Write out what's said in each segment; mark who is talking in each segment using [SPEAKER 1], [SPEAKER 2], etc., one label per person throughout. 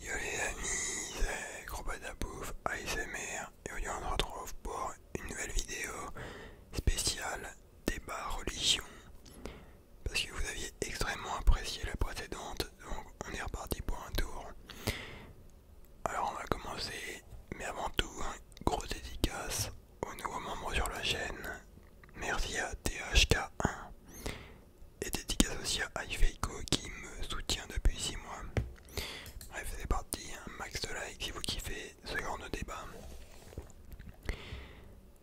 [SPEAKER 1] Yo les amis, c'est Gros ASMR et aujourd'hui on se retrouve pour une nouvelle vidéo spéciale débat religion parce que vous aviez extrêmement apprécié la précédente donc on est reparti pour un tour. Alors on va commencer mais avant tout un hein, gros dédicace aux nouveaux membres sur la chaîne. Merci à THK1 et dédicace aussi à Ifeiko qui me soutient depuis 6 mois. Bref, c'est parti, un hein. max de likes si vous kiffez ce genre de débat.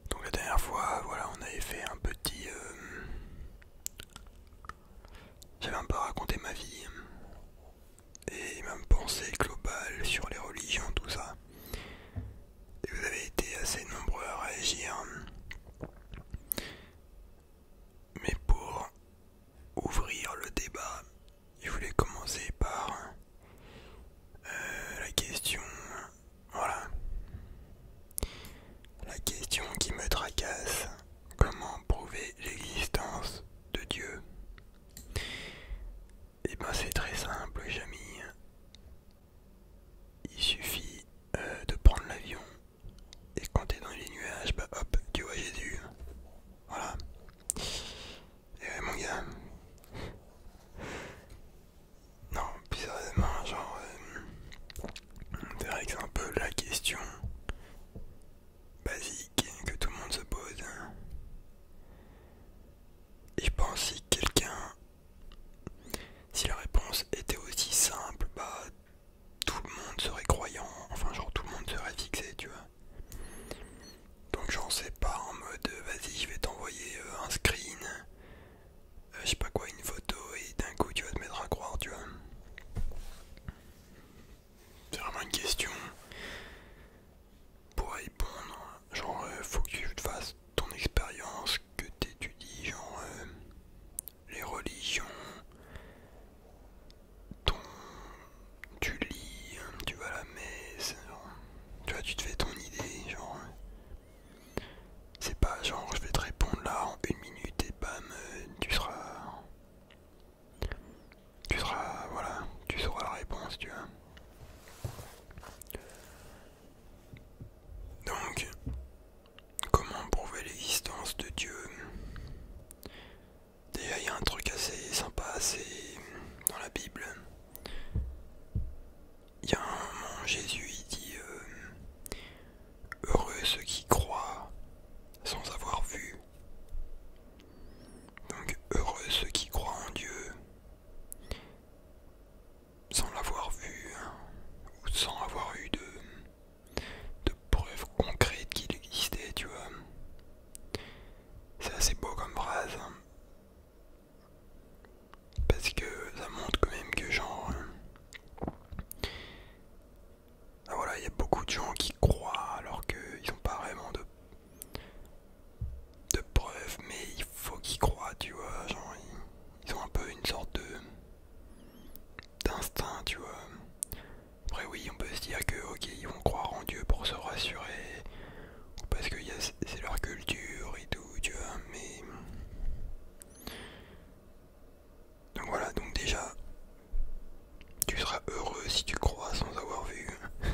[SPEAKER 1] Donc la dernière fois, voilà, on avait fait un petit... Euh, j'avais un peu raconté ma vie et ma pensée globale sur les religions, tout ça. Et vous avez été assez nombreux à réagir. Mais pour ouvrir le débat, je voulais commencer par euh, la question. Voilà. La question qui me tracasse. Comment prouver l'existence de Dieu Eh ben c'est très simple, Jamie. Il suffit euh, de prendre l'avion et quand t'es dans les nuages, bah hop, tu vois Jésus. Voilà. Et mon gars. Non, bizarrement, genre. On euh, c'est un peu la question basique que tout le monde se pose. Et je pense si quelqu'un. Si la réponse était aussi simple, bah tout le monde serait croyant, enfin genre tout le monde serait fixé, tu vois. Donc j'en sais pas en mode euh, vas-y je vais t'envoyer euh, un screen, euh, je sais pas quoi, une photo et d'un coup tu vas te mettre à croire, tu vois. C'est vraiment une question pour répondre, genre faut que tu fasses ton expérience, que t'étudies, genre les religions, ton... tu lis, hein, tu vas à la messe, genre, tu tu te fais ton idée, genre. C'est pas genre je vais te répondre là en une minute et bam, euh, tu seras. Tu seras. Voilà, tu sauras la réponse, tu vois. Donc, Comment prouver l'existence de Dieu D'ailleurs, il y a un truc assez sympa, assez dans la Bible. Il y a un moment, Jésus dit euh, Heureux ceux qui croient sans avoir vu. Donc, heureux ceux qui croient en Dieu sans l'avoir vu hein, ou sans avoir eu de, preuves concrètes qu'il existait, tu vois. C'est assez beau comme phrase. Hein. Parce que ça montre quand même que genre... Hein, ah, voilà, il y a beaucoup de gens qui croient alors qu'ils n'ont pas vraiment de, preuves, mais il faut qu'ils croient, tu vois. Genre, ils ont un peu une sorte de d'instinct, tu vois. Après oui, on peut se dire que ok, ils vont croire en Dieu pour se rassurer, ou parce que c'est leur culture et tout, tu vois, mais... Donc voilà, donc déjà, tu seras heureux si tu crois sans avoir vu.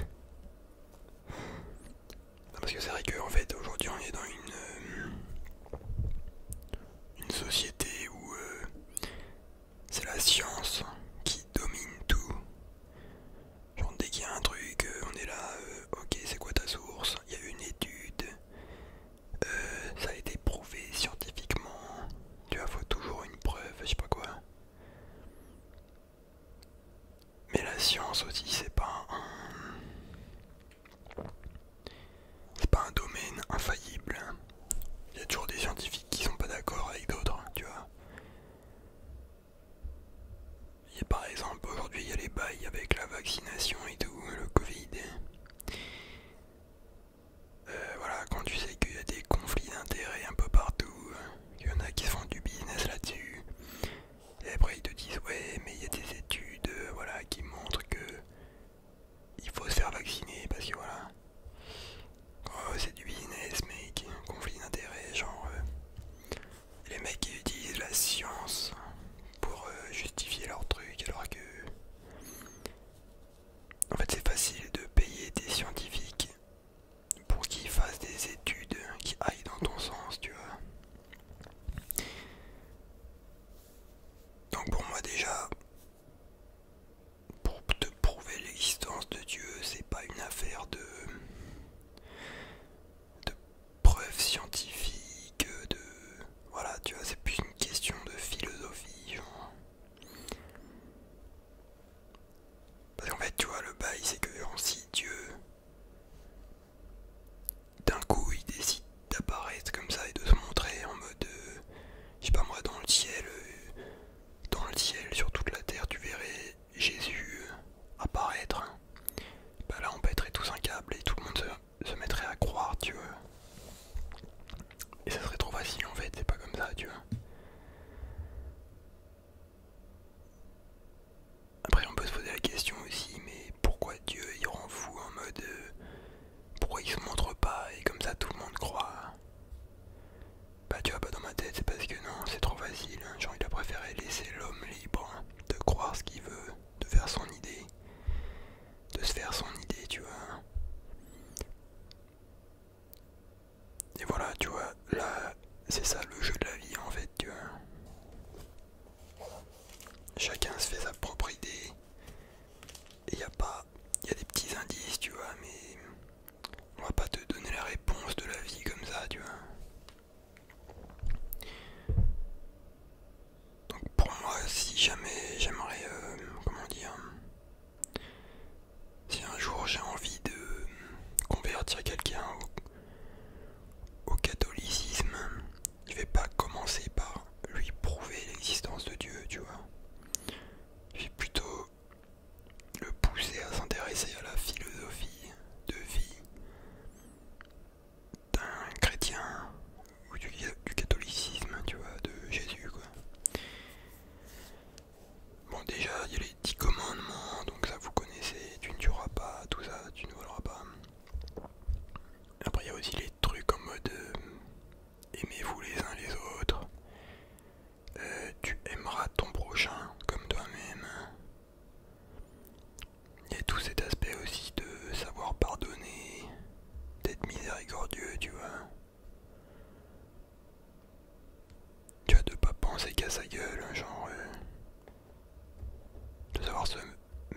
[SPEAKER 1] Parce que c'est vrai que en fait, aujourd'hui, on est dans une... Euh, une société où euh, c'est la science qui domine tout. Genre dès qu'il y a un truc, euh, on est là, euh, ok c'est quoi ta source, il y a une étude, ça a été prouvé scientifiquement, tu as faut toujours une preuve, je sais pas quoi. Mais la science aussi c'est pas c'est pas un domaine infaillible. Hein. Il y a toujours des scientifiques qui sont pas d'accord avec d'autres, tu vois. Il y a par exemple aujourd'hui il y a les bails avec la vaccination et tout, le Covid. Euh, voilà, quand tu sais qu'il y a des conflits d'intérêts un peu partout, il y en a qui font du business là-dessus. Et après ils te disent ouais mais il y a des études euh, voilà, qui montrent que il faut se faire vacciner parce que voilà. Euh, c'est du business, mec. Conflit d'intérêt, genre. Euh, les mecs qui utilisent la science pour euh, justifier leurs trucs alors que. En fait, c'est facile de payer des scientifiques pour qu'ils fassent des études qui aillent dans ton sens, tu vois. Donc pour moi déjà, pour te prouver l'existence de Dieu, c'est pas une affaire de, de preuves scientifiques, de. Voilà, tu vois, c'est plus une question de philosophie, Parce qu'en fait, tu vois, le bail, c'est que si Dieu d'un coup il décide d'apparaître comme ça et de se montrer en mode euh, je sais pas moi dans le ciel euh, dans le ciel sur toute la terre tu verrais Jésus euh, apparaître hein. bah là on pèterait tous un câble et tout le monde se, se mettrait à croire tu vois et ça serait trop facile en fait c'est pas comme ça tu vois après on peut se poser la question aussi mais pourquoi Dieu il rend fou en mode euh, pourquoi il se montre pas et comme ça tout le monde croit. Bah tu vois pas dans ma tête c'est parce que non c'est trop facile, hein. genre il a préféré laisser l'homme libre hein, de croire ce qu'il veut, de faire son idée, de se faire son idée tu vois. Et voilà, tu vois, là, c'est ça le jeu de la vie en fait, tu vois. Chacun se fait sa propre idée, il y a pas. Il y a des petits indices, tu vois, mais on va pas te donner la réponse de la vie comme ça, tu vois. Donc pour moi, si jamais j'aimerais, euh, comment dire, si un jour j'ai envie de convertir quelqu'un au catholicisme, je vais pas commencer par lui prouver l'existence de Dieu, tu vois. Je vais plutôt le pousser à s'intéresser à la philosophie de vie d'un chrétien ou du, catholicisme, tu vois, de Jésus, quoi. Bon, déjà, il y a les dix commandements, donc ça vous connaissez, tu ne tueras pas, tout ça, tu ne voleras pas. Après, il y a aussi les trucs en mode euh, aimez-vous les uns les autres, euh, tu aimeras ton prochain comme toi-même. Il y a tout cet aspect aussi de savoir pardonner, d'être miséricordieux, tu vois. Tu vois, de pas penser qu'à sa gueule, hein, genre. Euh, de savoir se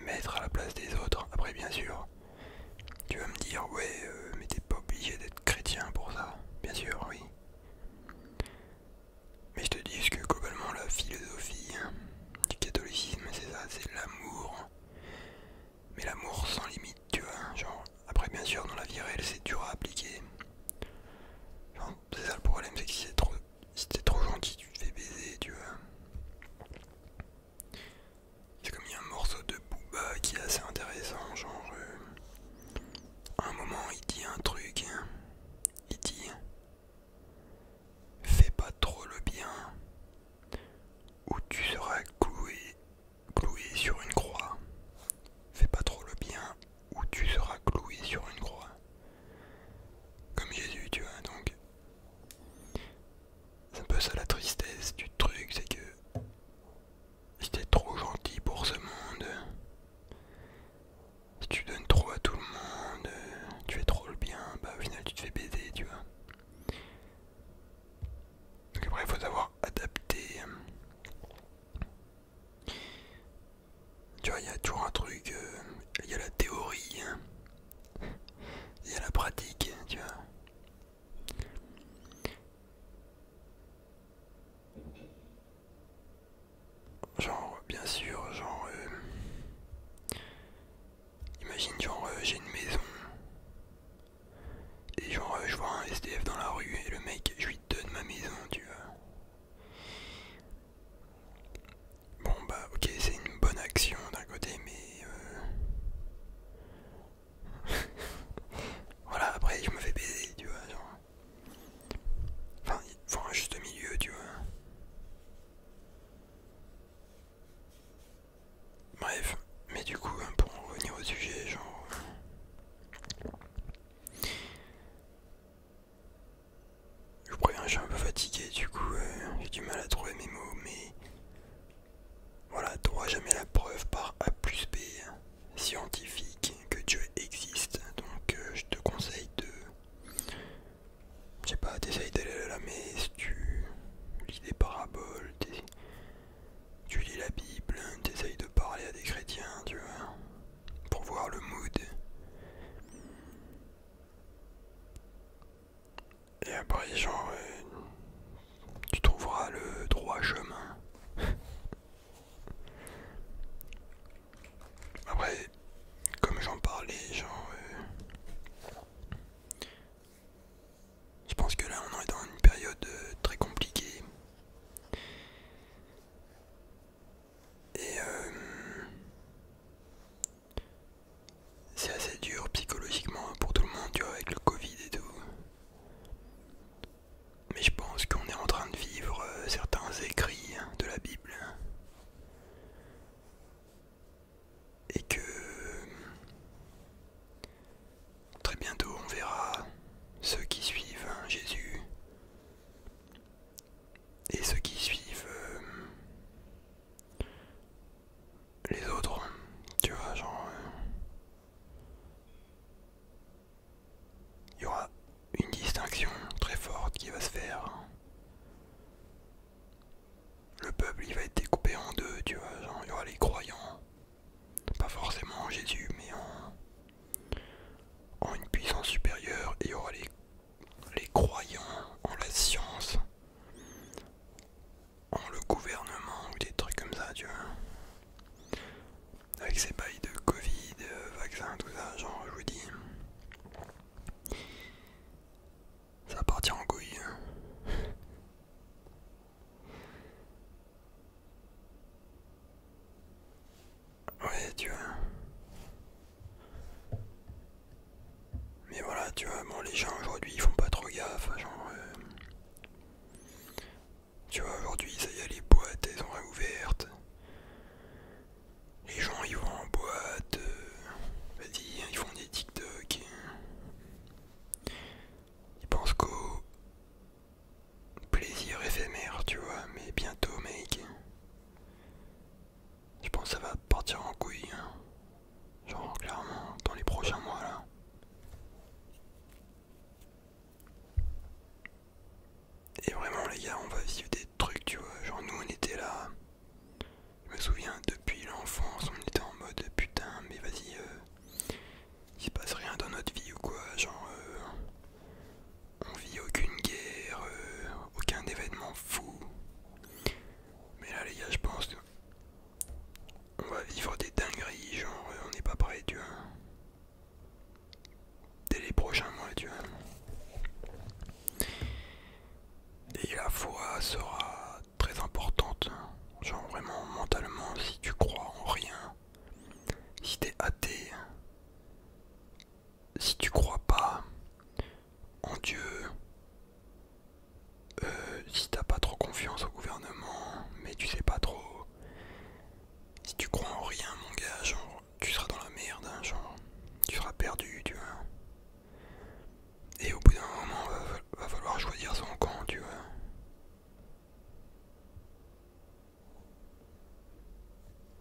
[SPEAKER 1] mettre à la place des autres. Après, bien sûr, tu vas me dire, ouais, euh, mais t'es pas obligé d'être chrétien pour ça. Bien sûr, oui. Mais je te dis que globalement, la philosophie hein, du catholicisme, c'est ça, c'est l'amour. Mais l'amour sans limite, tu vois. Hein, genre, après, bien sûr, dans la vie réelle, c'est dur à appliquer. Genre, c'est ça le problème, c'est que si t'es trop, si trop gentil, tu te fais baiser, tu vois. C'est comme il y a un morceau de Booba qui est assez intéressant, genre euh, un moment il dit un truc, hein. il dit fais pas trop le bien ou tu seras cloué, cloué sur une croix. Fais pas trop le bien ou tu seras cloué sur une croix. Comme Jésus, tu vois, donc c'est un peu ça la tristesse du truc, c'est que t'es trop gentil pour ce monde. Si tu donnes trop à tout le monde, tu es trop le bien, bah au final tu te fais baiser, tu vois. Donc après il faut savoir adapter. Tu vois, il y a toujours un truc, euh, il y a la théorie, hein. Il y a la pratique, tu vois. Genre, bien sûr, genre... Euh, imagine, genre, euh, j'ai une maison. Et genre, euh, je vois un SDF dans la rue et le mec, je lui donne ma maison, tu vois. Bon bah ok c'est une bonne action d'un côté mais euh, voilà après je me fais baiser tu vois genre... enfin il faut un juste milieu tu vois bref mais du coup hein, pour en revenir au sujet genre euh, je vous préviens, je suis un peu fatigué, du coup euh, j'ai du mal à trouver mes mots, mais voilà, t'auras jamais la preuve par A plus B hein, scientifique que Dieu existe, donc euh, je te conseille de... Je sais pas, t'essayes d'aller à la messe, tu lis des paraboles, tu lis la Bible, hein, t'essayes de parler à des chrétiens, tu vois, pour voir le mood. Et après, genre, euh, tu trouveras le droit chemin. après, comme j'en parlais, genre, euh, je pense que là, on est dans une période euh, très compliquée. Et euh, c'est assez dur psychologiquement pour tout le monde, tu avec le Covid et tout. Mais je pense qu'on est en train de vivre euh, certains écrits de la Bible. Et que euh, très bientôt on verra ceux qui suivent hein, Jésus et ceux qui suivent euh, les autres, tu vois, genre euh, il y aura une distinction très forte qui va se faire. Le peuple il va être découpé en deux, tu vois, genre il y aura les croyants, pas forcément en Jésus, mais en, en une puissance supérieure, et il y aura les les croyants en la science, en le gouvernement ou des trucs comme ça, tu vois. Avec ces bails de Covid, euh, vaccins, tout ça, genre, je vous dis. Ça partir en couille. Hein. Ouais, tu vois. Mais voilà, tu vois, bon, les gens aujourd'hui ils font pas trop gaffe, genre. Euh, tu vois, aujourd'hui, ça y est, les boîtes elles sont réouvertes. Les gens ils vont en boîte, euh, vas-y, ils font des TikTok. Ils pensent qu'au plaisir éphémère, tu vois, mais bientôt, mec. Je pense que ça va partir en couille. Hein. Genre clairement dans les prochains mois là. Et vraiment les gars, on va vivre des trucs, tu vois. Genre nous on était là. Je me souviens depuis l'enfance, on était en mode putain mais vas-y euh, il se passe rien dans notre vie ou quoi, genre euh, on vit aucune guerre, euh, aucun événement fou. Mais là les gars je pense que va vivre des dingueries, genre euh, on n'est pas prêt tu vois. Dès les prochains mois tu vois. Et la foi sera très importante. Genre vraiment mentalement si tu crois en rien. Si t'es athée, si tu crois pas en Dieu, euh, si t'as pas trop confiance au gouvernement, mais tu sais pas trop, si tu crois en rien, mon gars, genre, tu seras dans la merde, hein, genre, tu seras perdu, tu vois. Et au bout d'un moment, va, falloir choisir son camp, tu vois.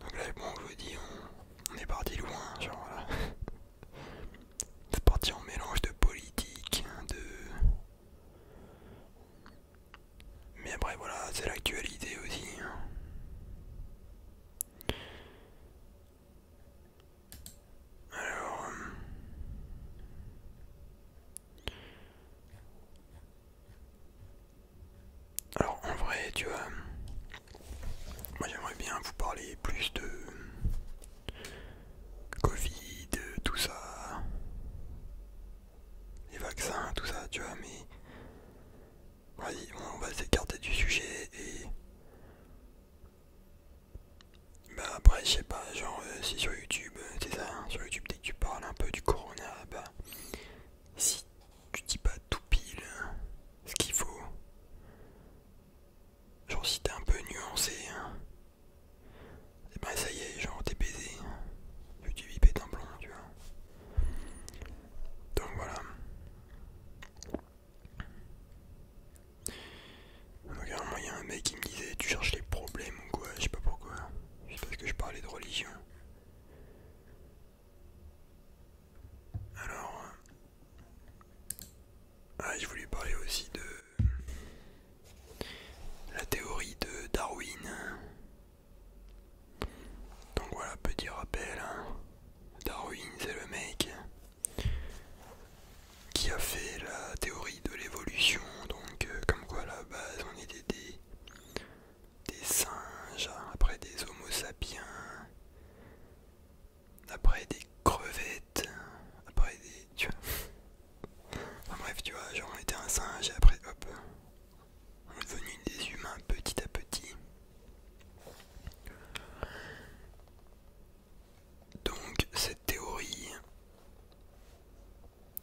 [SPEAKER 1] Donc là, je vous dis, on, est parti loin, genre C'est parti en mélange de politique, hein, de... Mais après voilà, c'est l'actualité aussi. Hein. Alors... Euh, alors en vrai, tu vois, moi j'aimerais bien vous parler plus de Covid, tout ça, les vaccins, tout ça, tu vois, mais vas-y, on va s'écarter du sujet et... Bah après je sais pas, genre euh, si sur YouTube, euh, c'est ça, hein. sur YouTube dès que tu parles un peu du corona, bah si tu dis pas tout pile ce qu'il faut. Genre si t'es un peu nuancé, et hein. eh ben ça y est, genre t'es baisé. Tu vis pètes un plomb, tu vois. Donc voilà. Regarde, il y a un mec qui me disait tu cherches les problèmes ou quoi, je sais pas pourquoi. Je parce que je parlais de religion. Alors, euh, ah, je voulais parler aussi de la théorie de Darwin. Donc voilà, petit rappel. Hein. Darwin, c'est le mec qui a fait la théorie de l'évolution. Donc euh, comme quoi à la base, on était des, des singes, après des homo sapiens après des crevettes, après des. Tu vois. Enfin bref, tu vois, genre on était un singe et après hop, on est devenu des humains petit à petit. Donc cette théorie,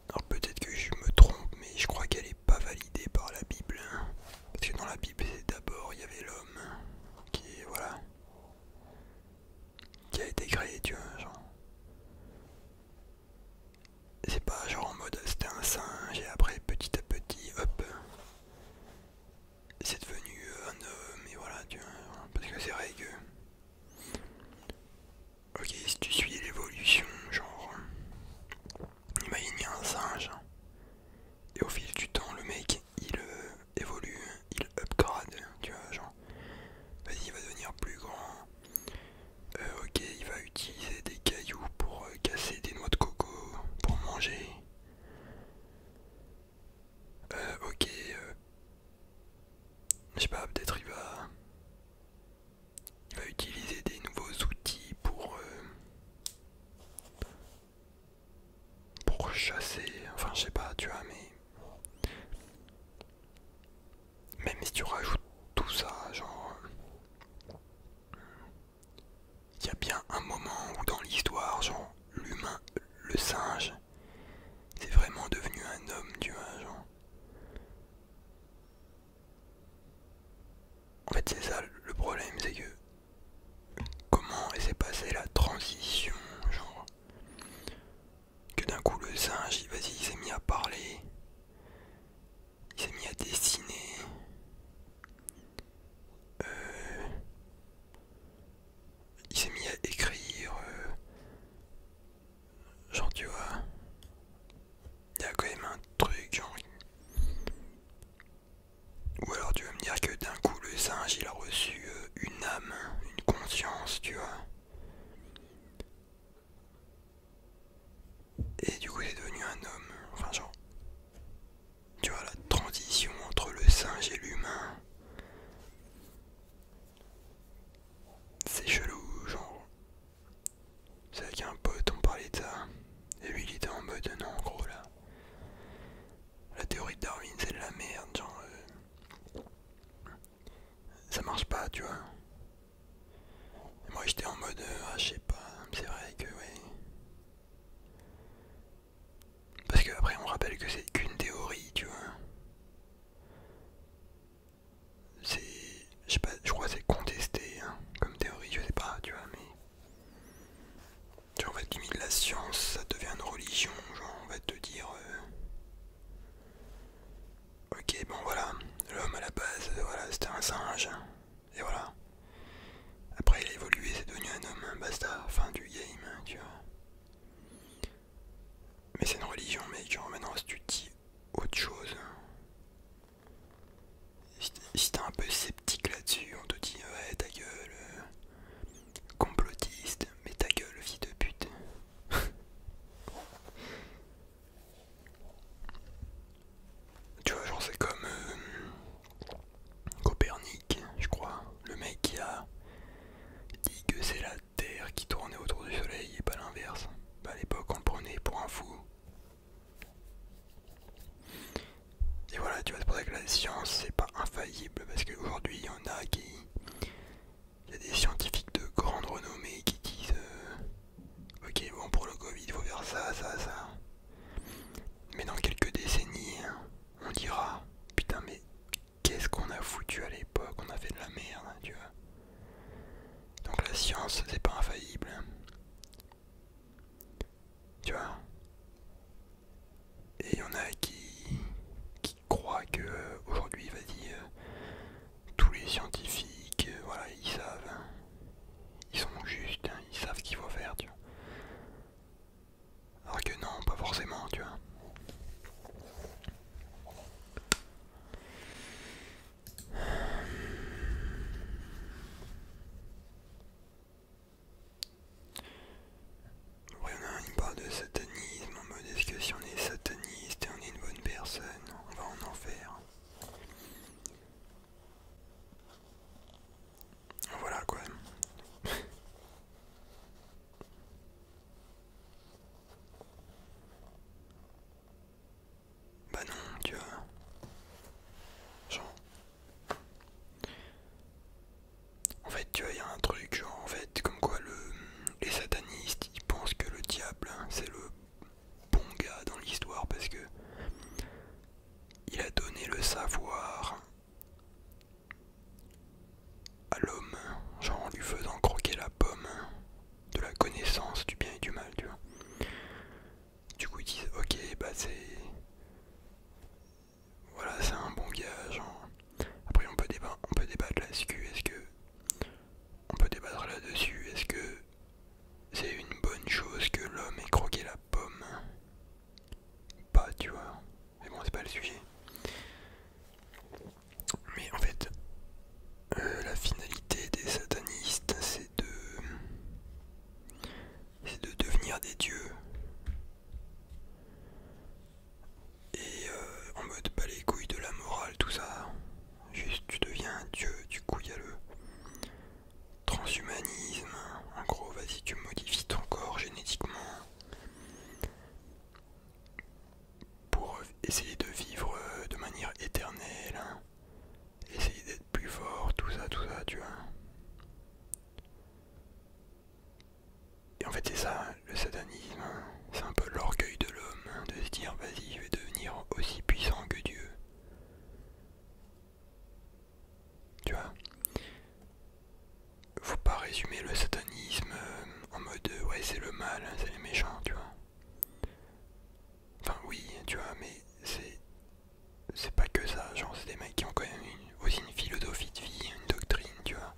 [SPEAKER 1] alors peut-être que je me trompe, mais je crois qu'elle n'est pas validée par la Bible. Hein. Parce que dans la Bible, d'abord, il y avait l'homme qui, voilà, qui a été créé, tu vois, genre. C'est pas genre en mode c'était un singe et après petit à petit, hop, c'est devenu un homme et voilà, tu vois, parce que c'est vrai que. Ok, si tu suis l'évolution, genre. Imagine, il un singe. Et au fil du temps, le mec il euh, évolue, il upgrade, tu vois, genre, vas-y, il va devenir plus grand. Euh, ok, il va utiliser des cailloux pour euh, casser des noix de coco, pour manger. Euh, ok, euh, je sais pas, peut-être il va, il va utiliser des nouveaux outils pour, pour chasser, enfin je sais pas, tu vois, mais même si tu rajoutes tout ça, genre, il y a bien un moment où dans l'histoire, genre, l'humain, le singe, c'est vraiment devenu un homme, tu vois, genre. En fait, c'est ça le problème, c'est que comment s'est passée la transition, genre que d'un coup le singe, vas-y, il s'est mis à parler, il s'est mis à dessiner. Euh, il s'est mis à écrire, euh, genre tu vois, il y a quand même un truc, genre ou alors tu vas me dire que d'un coup le singe il a reçu euh, une âme, une conscience, tu vois. Et du coup il est devenu un homme. Enfin genre. Tu vois la transition entre le singe et l'humain. C'est chelou, genre. C'est avec un pote on parlait de ça. Et lui il était en mode non en gros là. La théorie de Darwin, c'est de la merde, genre. Euh, ça marche pas, tu vois. moi j'étais en mode, euh, ah, je sais pas, c'est vrai que, ouais. Parce que, après, on rappelle que c'est qu'une théorie, tu vois. C'est. Je pas, je crois que c'est contesté hein, comme théorie, je sais pas, tu vois, mais. Genre, en fait, la science, ça devient une religion. Genre, on va te dire. Euh, ok, bon, voilà. L'homme à la base, voilà, c'était un singe. Et voilà. Après, il a évolué, c'est devenu un homme. Basta, fin du game, tu vois. Mais c'est une religion, mec. Genre, maintenant, si tu dis autre chose si t'es un peu sceptique là-dessus, on te dit ouais ta gueule, euh, complotiste, mais ta gueule fille de pute. tu vois, genre c'est comme euh, Copernic, je crois, le mec qui a dit que c'est la Terre qui tournait autour du Soleil et pas l'inverse. Bah, à l'époque on prenait pour un fou, et voilà, tu vois, c'est pour ça que la science, c'est pas infaillible, parce qu'aujourd'hui, il y en a qui. Il y a des scientifiques de grande renommée qui disent euh, Ok, bon, pour le Covid, il faut faire ça, ça, ça. Mais dans quelques décennies, on dira Putain, mais qu'est-ce qu'on a foutu à l'époque On a fait de la merde, tu vois. Donc la science, c'est pas infaillible. Tu vois Et il y en a qui, qui croient que euh, aujourd'hui, vas-y, euh, tous les scientifiques, euh, voilà, ils savent. Hein. ils sont justes, hein, ils savent ce qu'il faut faire, tu vois. Alors que non, pas forcément, tu vois. Après on a, il parle de satanisme, en mode est-ce que si on est sataniste et on est une bonne personne, on va en enfer. Voilà quoi. bah non, tu vois. En fait, tu vois, il y a un truc, genre, en fait, comme quoi les satanistes, ils pensent que le diable, hein, c'est le bon gars dans l'histoire, parce que il a donné le savoir à l'homme, genre en lui faisant croquer la pomme de la connaissance du bien et du mal, tu vois. Du coup ils disent ok bah c'est... Voilà c'est un bon gage. Après on peut, débattre, on peut débattre là-dessus, est-ce que... On peut débattre là-dessus, est-ce que c'est une bonne chose que l'homme ait croqué la pomme Pas tu vois. Mais bon c'est pas le sujet. Mais en fait, euh, la finalité des satanistes, c'est c'est de. devenir des dieux. Et euh, en mode pas bah, les couilles de la morale, tout ça. Juste tu deviens un dieu, du coup il y a le transhumanisme. En gros, vas-y, tu modifies ton corps génétiquement pour essayer de vivre euh, de manière éternelle. Hein essayer d'être plus fort, tout ça, tout ça, tu vois. Et en fait, c'est ça, le satanisme, hein. c'est un peu l'orgueil de l'homme, hein, de se dire, vas-y, je vais devenir aussi puissant que Dieu. Tu vois Faut pas résumer le satanisme euh, en mode, euh, ouais, c'est le mal, hein, c'est les méchants, tu vois. Enfin, oui, tu vois, mais c'est c'est pas que ça, genre c'est des mecs qui ont quand même aussi une philosophie de vie, une doctrine, tu vois.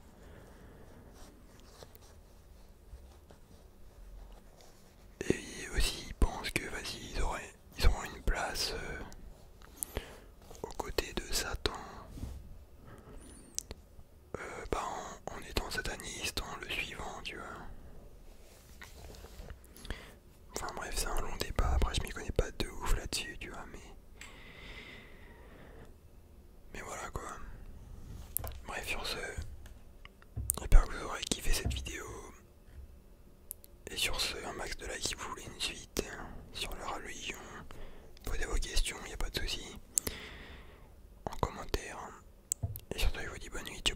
[SPEAKER 1] Et aussi ils pensent que vas ils ils auront une place euh, aux côtés de Satan euh, bah, en, en étant sataniste, en le suivant, tu vois. Enfin bref, c'est un long débat, après je m'y connais pas de ouf là-dessus, tu vois, mais... Mais voilà quoi. Bref, sur ce, j'espère que vous aurez kiffé cette vidéo. Et sur ce, un max de likes si vous voulez une suite hein, sur la religion. Posez vos questions, il a pas de soucis, En commentaire. Et surtout, je vous dis bonne nuit, tu